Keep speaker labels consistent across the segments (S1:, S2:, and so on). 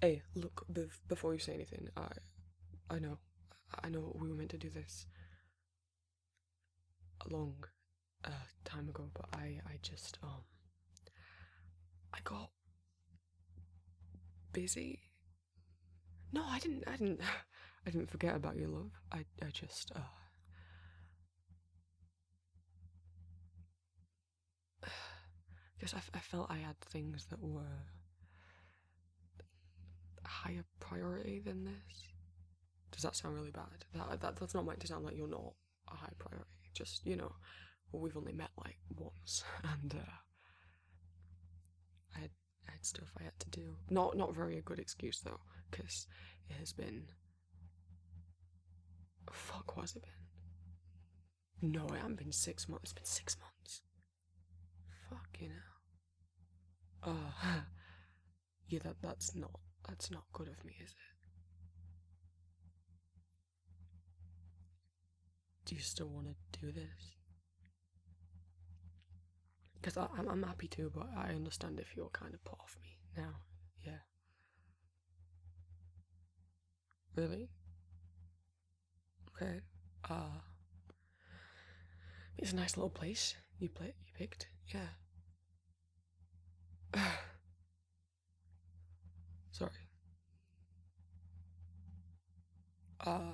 S1: Hey, look, before you say anything, I. I know. I know we were meant to do this. a long uh, time ago, but I. I just, um. I got. busy. No, I didn't. I didn't. I didn't forget about your love. I. I just, uh because I, I felt I had things that were higher priority than this. Does that sound really bad? That, that's not meant to sound like you're not a high priority. Just you know, we've only met like once, and uh, I had I had stuff I had to do. Not not very a good excuse though, because it has been. Fuck, was it been? No, it hasn't been six months. It's been six months. Fuck you hell. Uh, yeah, that, that's not, that's not good of me, is it? Do you still want to do this?
S2: Because I'm, I'm happy
S1: to, but I understand if you're kind of part of me now. Yeah. Really? Okay. Uh, it's a nice little place you play you picked. Yeah. Sorry. Uh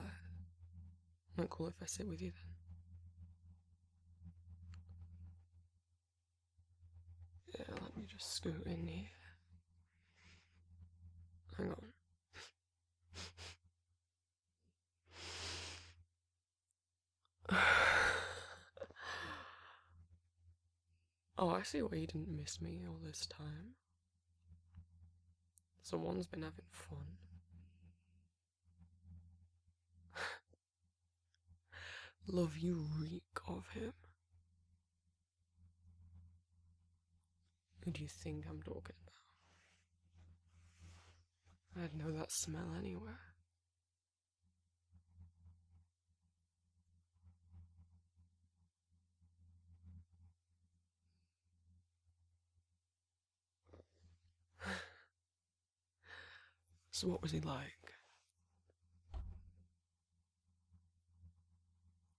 S1: not cool if I sit with you then. Yeah, let me just scoot in here. Hang on. oh, I see why you didn't miss me all this time. Someone's been having fun. Love you reek of him. Who do you think I'm talking about? I'd know that smell anywhere. so, what was he like?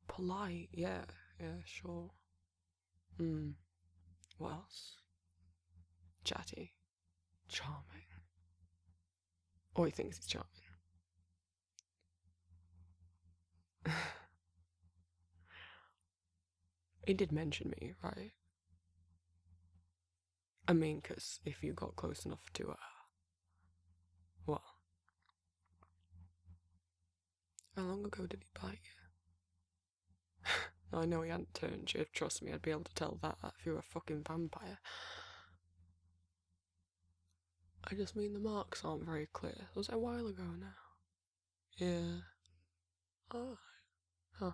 S1: Polite, yeah, yeah, sure. Hmm. What else? Chatty. Charming. Or oh, he thinks he's charming. he did mention me, right? I mean, because if you got close enough to her, uh, well, how long ago did he bite you? I know he hadn't turned you. Trust me, I'd be able to tell that if you were a fucking vampire. I just mean the marks aren't very clear. Was it a while ago now? Yeah. Alright. Oh. Huh.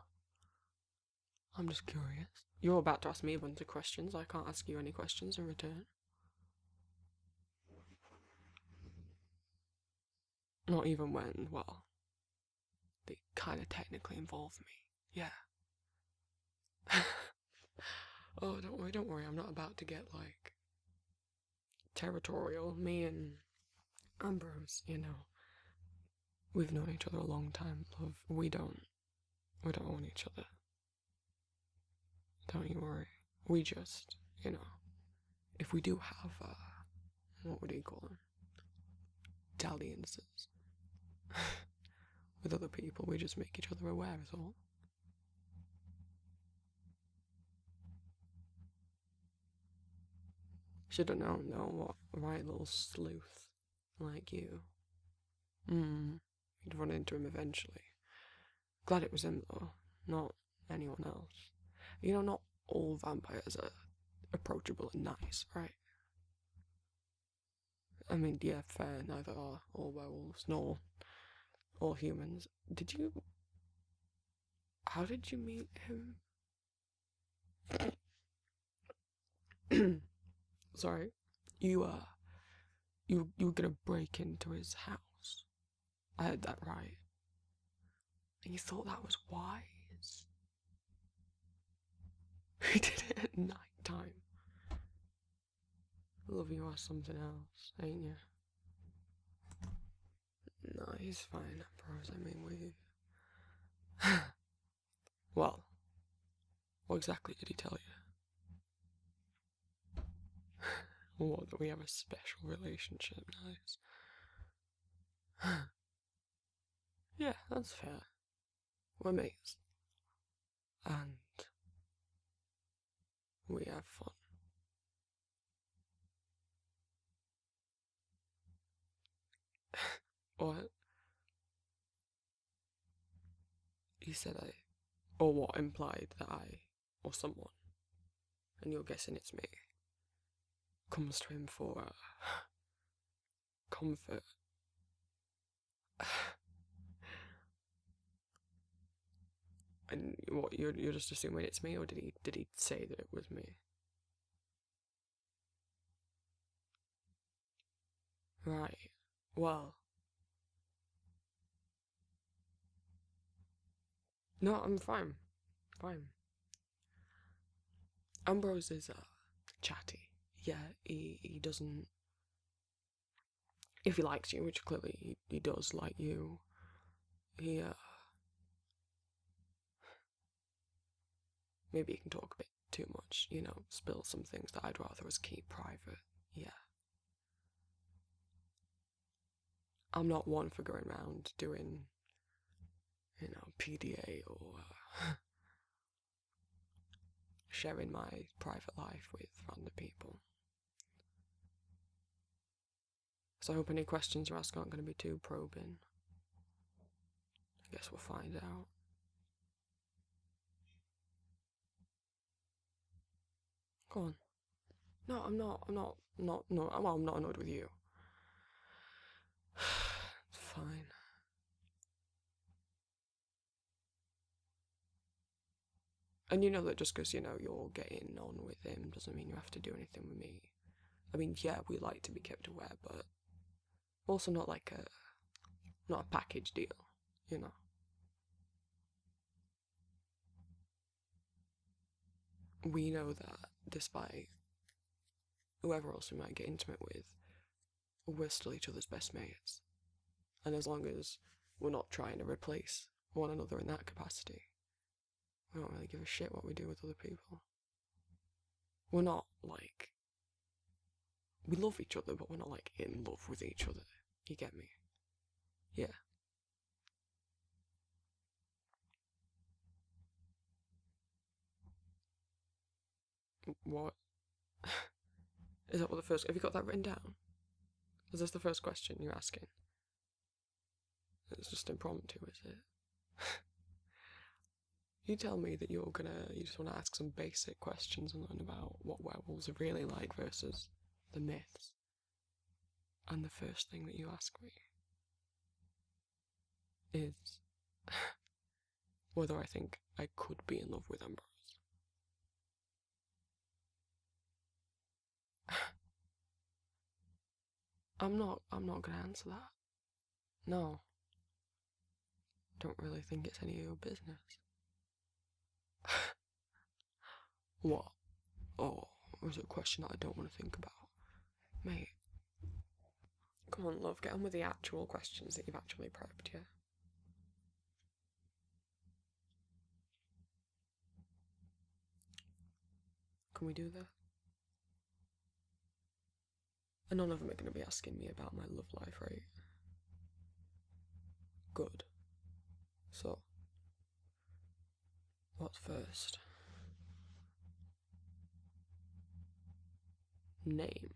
S1: I'm just curious. You're about to ask me a bunch of questions. I can't ask you any questions in return. Not even when, well, they kind of technically involve me. Yeah. oh, don't worry, don't worry. I'm not about to get like territorial. Me and Ambrose, you know, we've known each other a long time, love. We don't, we don't own each other. Don't you worry. We just, you know, if we do have, uh, what would you call them? Dalliances with other people, we just make each other aware, is all. Should have known though, what right little sleuth like you. Mm, you'd run into him eventually. Glad it was him though, not anyone else. You know, not all vampires are approachable and nice, right? I mean, yeah, fair, neither are werewolves, nor all humans. Did you. How did you meet him? Sorry. You, uh. You, you were gonna break into his house. I heard that right. And you thought that was wise? We did it at night time. Love you are something else, ain't you? No, he's fine, I promise. I mean, we. well, what exactly did he tell you? What, that we have a special relationship, nice. yeah, that's fair. We're mates. And we have fun. what? He said I. Or what implied that I or someone, and you're guessing it's me, comes to him for uh, comfort. and what you're you're just assuming it's me, or did he did he say that it was me? Right. Well, no, I'm fine. Fine. Ambrose is uh, chatty. Yeah, he, he doesn't. If he likes you, which clearly he, does like you, he. Uh, maybe he can talk a bit too much, you know, spill some things that I'd rather us keep private. Yeah. I'm not one for going around doing, you know, PDA or uh, sharing my private life with random people. So I hope any questions you ask aren't going to be too probing. I guess we'll find out. Go on. No, I'm not. I'm not. Not. No. Well, I'm not annoyed with you. Fine. And you know that just because you know you're getting on with him doesn't mean you have to do anything with me. I mean, yeah, we like to be kept aware, but also not like a not a package deal, you know we know that despite whoever else we might get intimate with, we're still each other's best mates. And as long as we're not trying to replace one another in that capacity, we don't really give a shit what we do with other people. We're not like. We love each other, but we're not like in love with each other. You get me? Yeah. What? Is that what the first. Have you got that written down? Is this the first question you're asking? It's just impromptu, is it? you tell me that you're gonna. You just want to ask some basic questions and learn about what werewolves are really like versus the myths. And the first thing that you ask me is whether I think I could be in love with Ambrose. I'm not I'm not gonna answer that. No. Don't really think it's any of your business. What? Oh, was a question that I don't want to think about? Mate. Come on, love, get on with the actual questions that you've actually prepped, yeah? Can we do that? And none of them are going to be asking me about my love life, right? Good. So, what first? Name.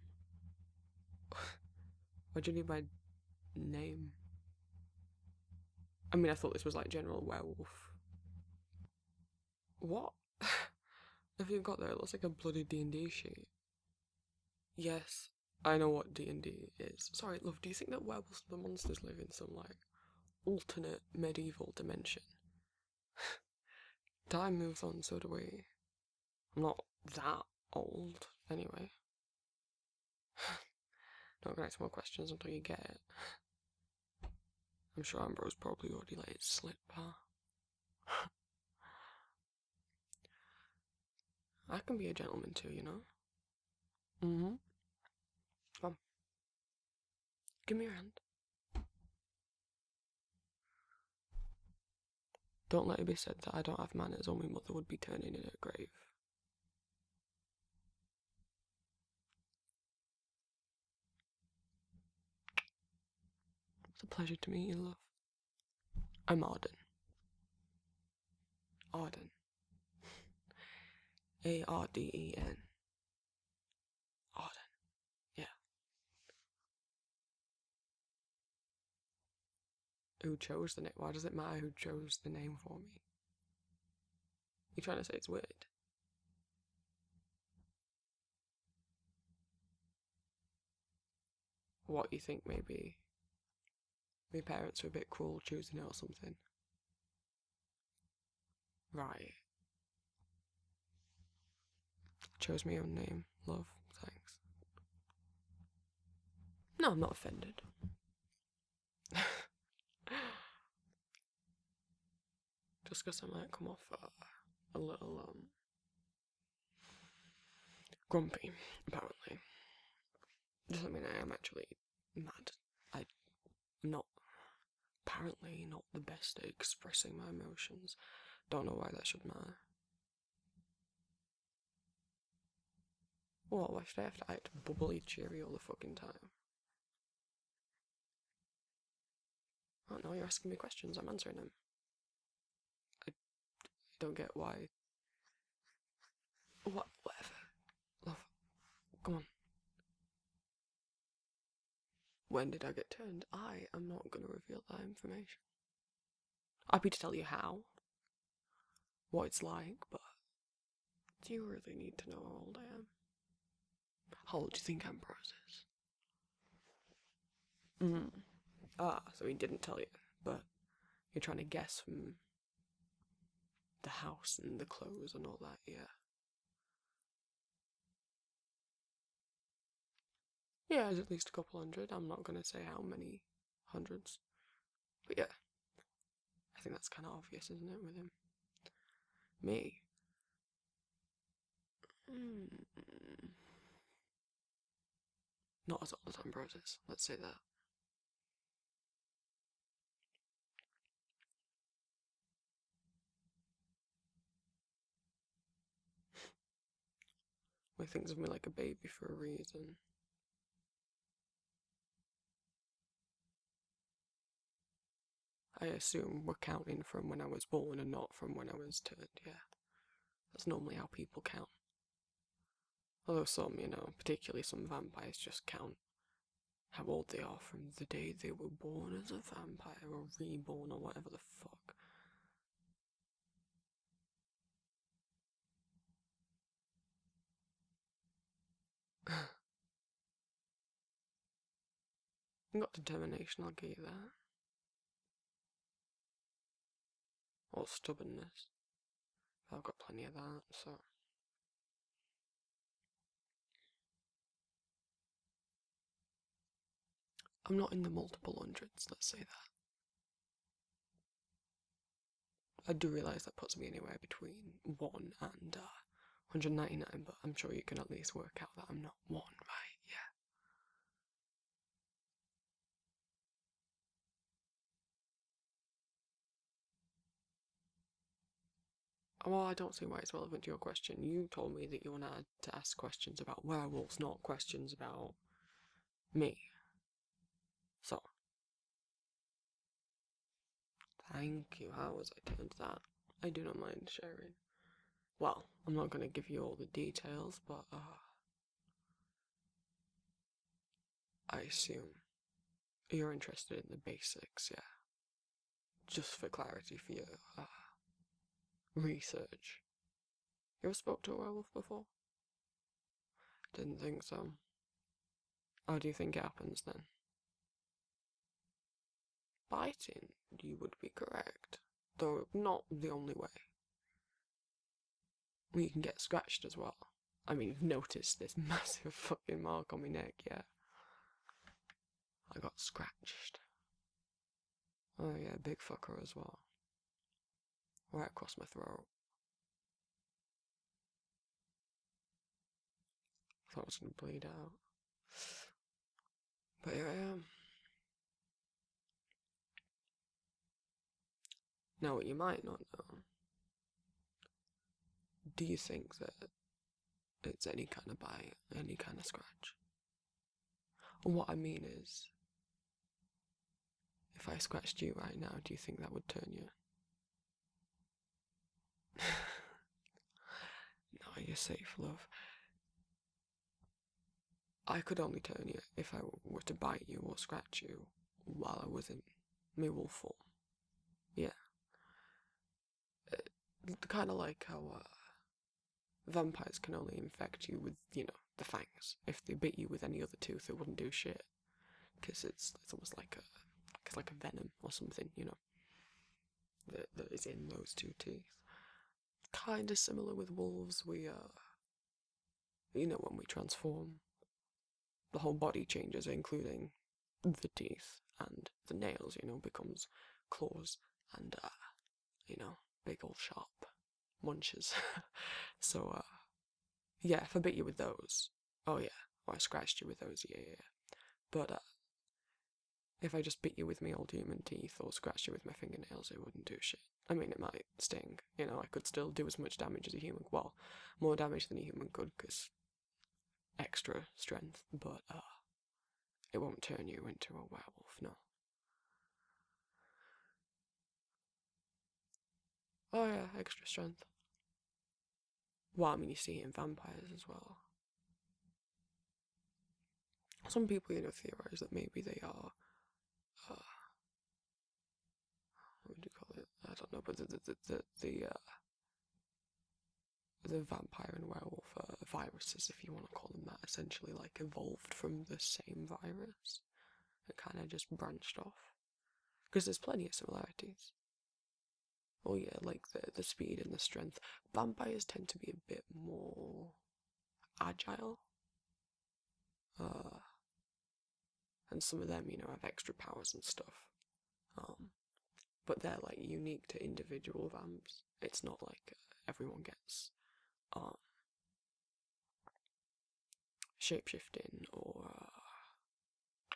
S1: what do you need by name? I mean, I thought this was like general werewolf. What? have you got there? It looks like a bloody D&D sheet. Yes, I know what D&D is. Sorry, love, do you think that werewolves the monsters live in some like alternate medieval dimension. Time moves on, so do we. I'm not that old, anyway. do not gonna ask more questions until you get it. I'm sure Ambrose probably already let it slip, huh? I can be a gentleman too, you know? mm Come. Give me your hand. Don't let it be said that I don't have manners or my mother would be turning in her grave. It's a pleasure to meet you, love. I'm Arden. Arden. A R D E N. Arden. Yeah. Who chose the name? Why does it matter who chose the name for me? You trying to say it's weird? What you think maybe my parents were a bit cruel choosing it or something. Right. Chose my own name. Love. Thanks. No, I'm not offended. Just because I might come off a little, um, grumpy, apparently. Doesn't mean I am actually mad. I'm not, apparently, not the best at expressing my emotions. Don't know why that should matter. Well, why should I have to act bubbly cheery all the fucking time? Oh no, you're asking me questions, I'm answering them. I don't get why what, whatever. Love, come on. When did I get turned? I am not going to reveal that information. Happy to tell you how, what it's like, but do you really need to know how old I am? How old do you think I'm, is? Mm. Ah, so he didn't tell you, but you're trying to guess from the house and the clothes and all that, yeah. Yeah, it's at least a couple hundred. I'm not gonna say how many hundreds. But yeah. I think that's kinda obvious, isn't it, with him? Me. Hmm. Not as old as Ambrose's, let's say that. Why think of me like a baby for a reason. I assume we're counting from when I was born and not from when I was turned, yeah. That's normally how people count. Although some, you know, particularly some vampires, just count how old they are from the day they were born as a vampire or reborn or whatever the fuck. I got determination, I'll give you that. Or stubbornness. I've got plenty of that, so. I'm not in the multiple hundreds, let's say that. I do realise that puts me anywhere between 1 and 199, uh, but I'm sure you can at least work out that I'm not 1, right? Yeah. Well, I don't see why it's relevant to your question. You told me that you wanted to ask questions about werewolves, not questions about me. So. Thank you. How was I turned that? I do not mind sharing. Well, I'm not going to give you all the details, but, uh, I assume you're interested in the basics, yeah. Just for clarity for your uh, research. You have spoke to a werewolf before? Didn't think so. How do you think it happens then? Biting, you would be correct, though not the only way. You can get scratched as well. I mean, noticed this massive fucking mark on my neck, yeah. I got scratched. Oh yeah, big fucker as well. Right across my throat. thought I was gonna bleed out. But here I am. Now what you might not know do you think that it's any kind of bite, any kind of scratch? And what I mean is, if I scratched you right now, do you think that would turn you? no, you're safe, love. I could only turn you if I were to bite you or scratch you while I was in my wolf form. Yeah kind of like how uh, vampires can only infect you with, you know, the fangs. If they bit you with any other tooth, it wouldn't do shit. Because it's, it's almost like a, it's like a venom or something, you know, that is in those two teeth. Kind of similar with wolves, we, uh, you know, when we transform, the whole body changes, including the teeth and the nails, you know, becomes claws and, uh, you know, big old sharp munches. so, uh, yeah, if I bit you with those, oh yeah, or I scratched you with those, yeah, yeah, But, uh, if I just bit you with my old human teeth or scratched you with my fingernails, it wouldn't do shit. I mean, it might sting, you know, I could still do as much damage as a human, well, more damage than a human could, because extra strength, but uh, it won't turn you into a werewolf, no. Oh, yeah, extra strength. Why? I mean, you see it in vampires as well. Some people, you know, theorize that maybe they are. Uh, what do you call it? I don't know, but the the the, the, the uh, the vampire and werewolf viruses, if you want to call them that, essentially like evolved from the same virus and kind of just branched off. Because there's plenty of similarities. Oh yeah, like the the speed and the strength. Vampires tend to be a bit more agile. Uh, and some of them, you know, have extra powers and stuff. Um, but they're like unique to individual vamps. It's not like uh, everyone gets um, shapeshifting or uh,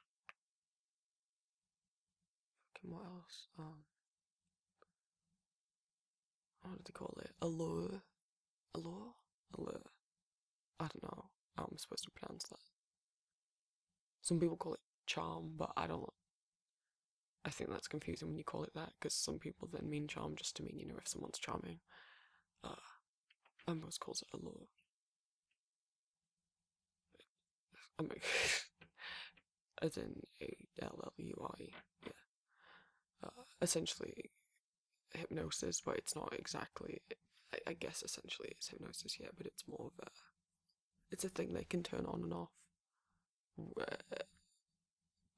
S1: what else? Um, what do they call it? Allure, allure, allure. I don't know. How I'm supposed to pronounce that. Some people call it charm, but I don't. I think that's confusing when you call it that because some people then mean charm just to mean you know if someone's charming. Uh, Ambrose calls it allure. I mean, as in a L L U R E, yeah. Uh, essentially, hypnosis, but it's not exactly. I, I guess essentially it's hypnosis, yeah, but it's more of a it's a thing they can turn on and off.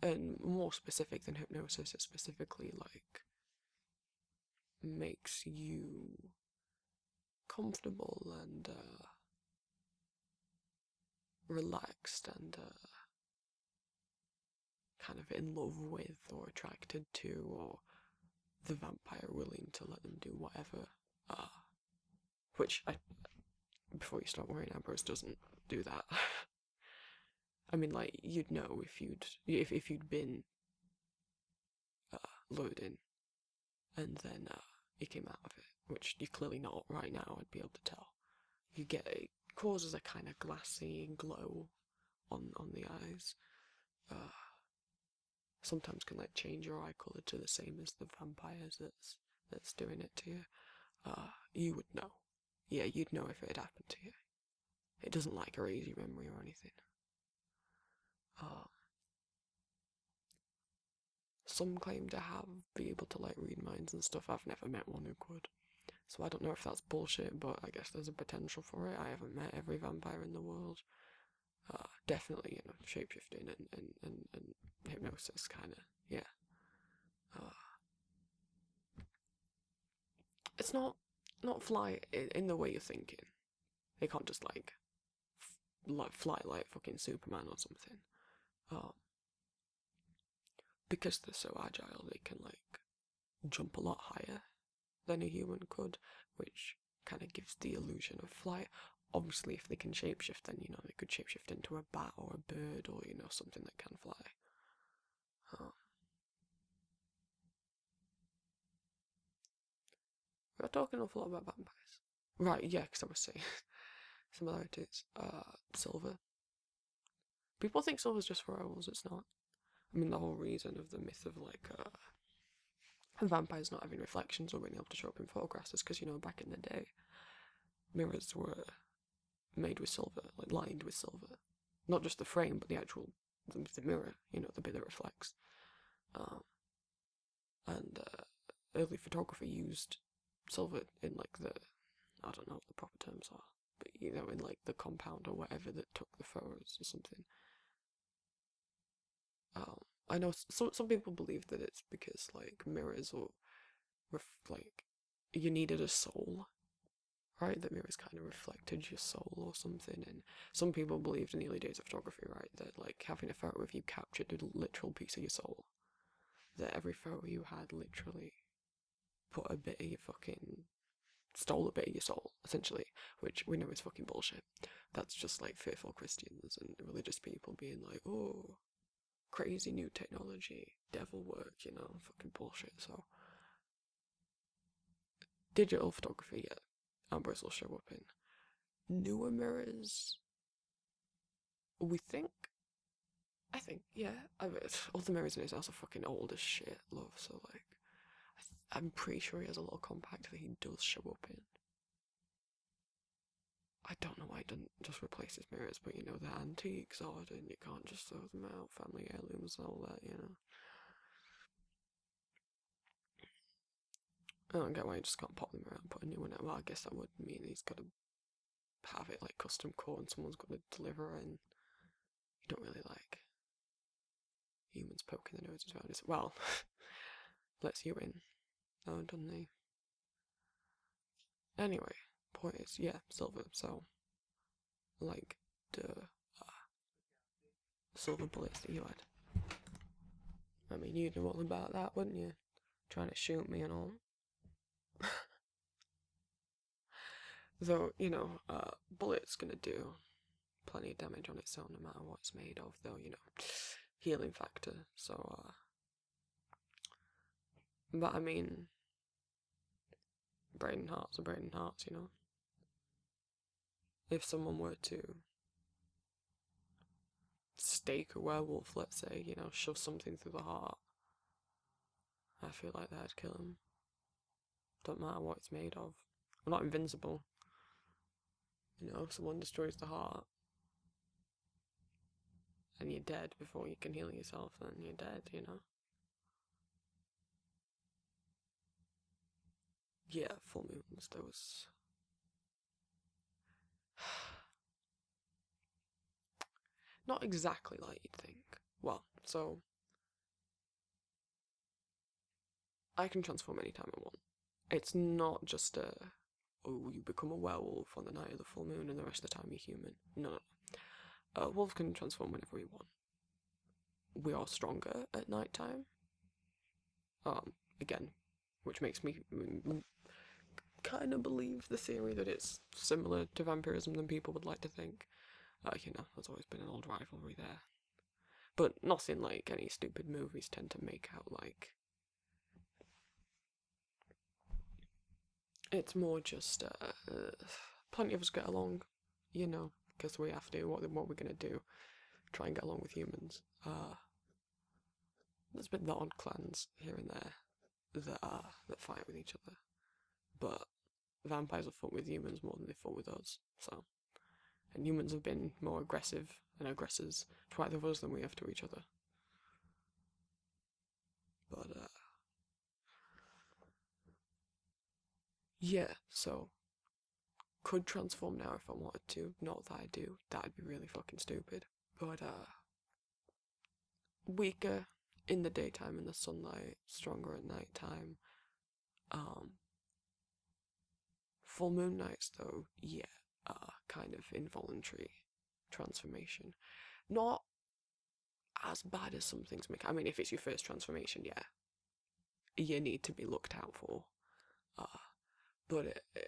S1: And more specific than hypnosis, it specifically like makes you comfortable and uh, relaxed and uh, kind of in love with or attracted to or the vampire willing to let them do whatever uh, which I before you start worrying, Ambrose doesn't do that. I mean, like you'd know if you'd if if you'd been uh, loading, and then uh, it came out of it, which you're clearly not right now. I'd be able to tell. You get it causes a kind of glassy glow on on the eyes, uh, sometimes can like change your eye color to the same as the vampires that's that's doing it to you. Ah, you would know. Yeah, you'd know if it had happened to you. It doesn't like erase your memory or anything. Ah, some claim to have be able to like read minds and stuff. I've never met one who could. So I don't know if that's bullshit, but I guess there's a potential for it. I haven't met every vampire in the world uh, definitely, you know, shapeshifting and and and, and hypnosis, kind of, yeah. Uh, it's not not fly in, the way you're thinking. They can't just like like fly like fucking Superman or something. Um, because they're so agile, they can like jump a lot higher than a human could, which kind of gives the illusion of flight. Obviously, if they can shapeshift, then you know they could shapeshift into a bat or a bird or you know something that can fly. We're talking an awful lot about vampires, right? Yeah, because I was saying similarities. Uh, silver. People think silver's just for werewolves. It's not. I mean, the whole reason of the myth of like uh, vampires not having reflections or being able to show up in photographs is because you know back in the day mirrors were made with silver like lined with silver not just the frame but the actual the, mirror you know the bit that reflects um, and uh, early photography used silver in like the i don't know what the proper terms are but you know in like the compound or whatever that took the photos or something um, I know some some people believe that it's because like mirrors or ref- like you needed a soul, right? That mirrors kind of reflected your soul or something. And some people believed in the early days of photography, right, that like having a photo of you captured a literal piece of your soul. That every photo you had literally put a bit of your fucking stole a bit of your soul, essentially, which we know is fucking bullshit. That's just like fearful Christians and religious people being like, oh, crazy new technology, devil work, you know, fucking bullshit. So, digital photography, yeah, i Ambrose will show up in. Newer mirrors, we think. I think, yeah. I mean, all mirrors is also fucking old as shit, love. So like, I'm pretty sure he has a little compact that he does show up in. I don't know why it doesn't just replace his mirrors, but you know, they're antiques ordered and you can't just throw them out, family heirlooms and all that, you know. I don't get why he just can't pop them around put a new one out. Well, I guess that would mean he's got to have it like custom cut and someone's got to deliver it, and you don't really like humans poking their noses around. It's, well, let's you in. Oh, do not they? Anyway, point is, yeah, silver, so. Like, the uh, Silver bullets that you had. I mean, you'd know all about that, wouldn't you? Trying to shoot me and all. Though, you know, uh, bullet's gonna do plenty of damage on its own no matter what it's made of, though, you know, healing factor. So, uh, but I mean, brain Hearts are brain Hearts, you know. If someone were to stake a werewolf, let's say, you know, shove something through the heart, I feel like that'd kill him. Don't matter what it's made of. I'm not invincible. You know, if someone destroys the heart, and you're dead before you can heal yourself, then you're dead, you know? Yeah, full moons, there was. Not exactly like you'd think. Well, so. I can transform anytime I want. It's not just a oh, you become a werewolf on the night of the full moon and the rest of the time you're human. No, no, no. A wolf can transform whenever we want. We are stronger at night time. Um, again, which makes me kind of believe the theory that it's similar to vampirism than people would like to think. Uh, you know, there's always been an old rivalry there. But nothing like any stupid movies tend to make out like it's more just uh, plenty of us get along, you know, because we have to. What what we're gonna do? Try and get along with humans. Uh, there's been odd clans here and there that uh, that fight with each other, but vampires have fought with humans more than they fought with us. So, and humans have been more aggressive and aggressors to either of us than we have to each other. But, uh, yeah, so could transform now if I wanted to. Not that I do. That'd be really fucking stupid. But uh weaker in the daytime in the sunlight, stronger at night time. Um Full moon nights though, yeah. Uh, kind of involuntary transformation. Not as bad as some things make. I mean, if it's your first transformation, yeah, you need to be looked out for. Uh, but uh,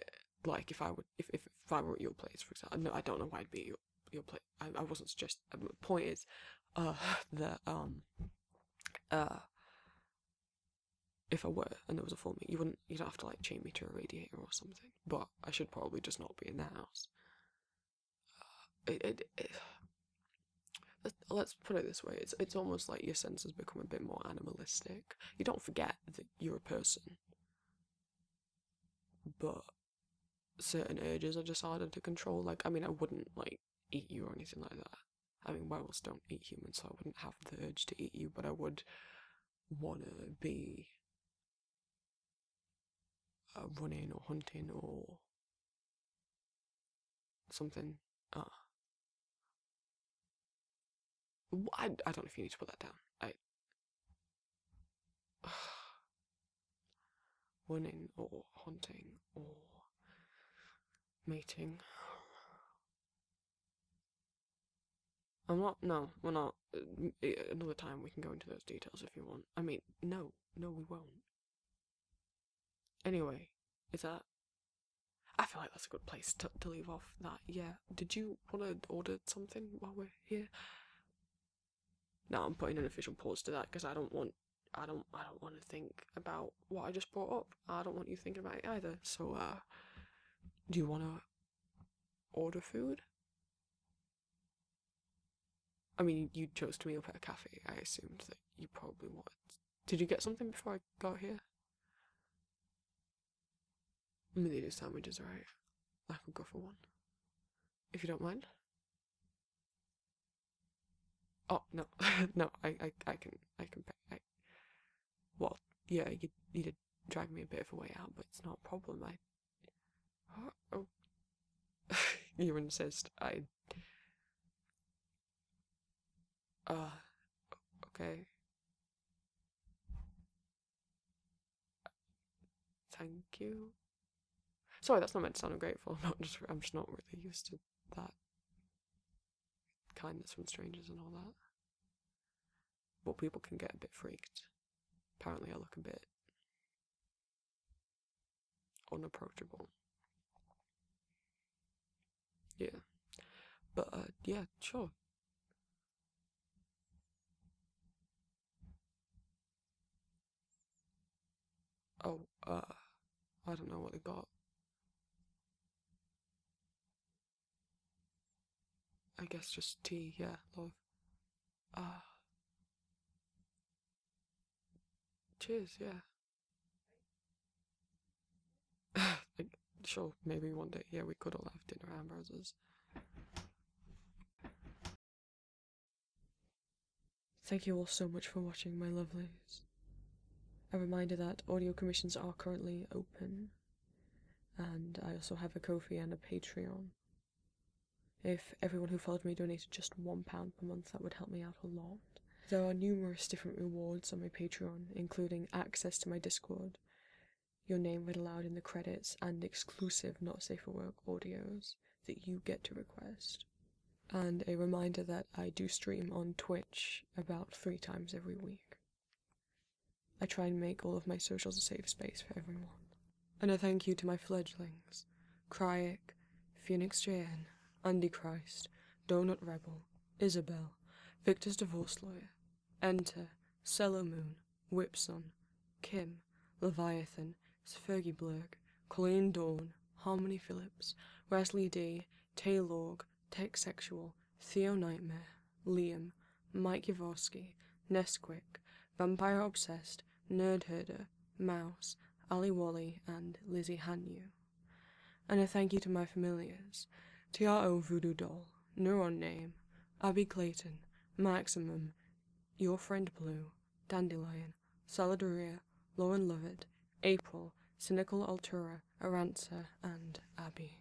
S1: like, if I would, if, if, I were at your place, for example, no, I don't know why I'd be your, your place. I, I wasn't suggesting. The point is, uh, um, uh, if I were and there was a full moon, you wouldn't you'd have to like chain me to a radiator or something. But I should probably just not be in the house. Uh, let's put it this way: it's it's almost like your senses become a bit more animalistic. You don't forget that you're a person, but certain urges are just harder to control. Like I mean, I wouldn't like eat you or anything like that. I mean, werewolves don't eat humans, so I wouldn't have the urge to eat you, but I would wanna be uh, running or hunting or something. Uh, I, I don't know if you need to put that down. running or hunting or mating. I'm not. No, we're not. Uh, uh, another time we can go into those details if you want. I mean, no, no, we won't. Anyway, is that. I feel like that's a good place to, to leave off that. Yeah. Did you want to order something while we're here? No, I'm putting an official pause to that because I don't want. I don't. I don't want to think about what I just brought up. I don't want you thinking about it either. So, uh, do you want to order food? I mean, you chose to meet up at a cafe. I assumed that you probably wanted. Did you get something before I got here? I mean, they do sandwiches, right? I can go for one. If you don't mind. Oh no, no, I, I, I can, I can pay. I, well, yeah, you, you did drag me a bit of a way out, but it's not a problem. I. Oh. you insist. I. Uh. Okay. Thank you. Sorry, that's not meant to sound ungrateful. not just. I'm just not really used to that kindness from strangers and all that. But people can get a bit freaked. Apparently, I look a bit unapproachable. Yeah. But, uh, yeah, sure. Oh, uh, I don't know what they got. I guess just tea, yeah, love. Ah. cheers, yeah. sure, maybe one day, yeah, we could all have dinner hamburgers. Thank you all so much for watching, my lovelies. A reminder that audio commissions are currently open and I also have a Kofi and a Patreon. If everyone who followed me donated just one pound per month, that would help me out a lot. There are numerous different rewards on my Patreon, including access to my Discord, your name read aloud in the credits, and exclusive Not Safe for Work audios that you get to request. And a reminder that I do stream on Twitch about three times every week. I try and make all of my socials a safe space for everyone. And a thank you to my fledglings Kryek, Phoenix JN, Andy Christ, Donut Rebel, Isabel, Victor's divorce lawyer, Enter, Cellar Moon, Whipson, Kim, Leviathan, Fergie Blurg, Colleen Dawn, Harmony Phillips, Wesley D, Taylorg, Tech Sexual, Theo Nightmare, Liam, Mike Yavorsky, Nesquik, Vampire Obsessed, Nerd Herder, Mouse, Ali Wally, and Lizzie Hanyu. And a thank you to my familiars TRO Voodoo Doll, Neuron Name, Abby Clayton, Maximum, Your Friend Blue, Dandelion, Solidaria, Lauren Lovett, April, Cynical Altura, Aranza, and Abby.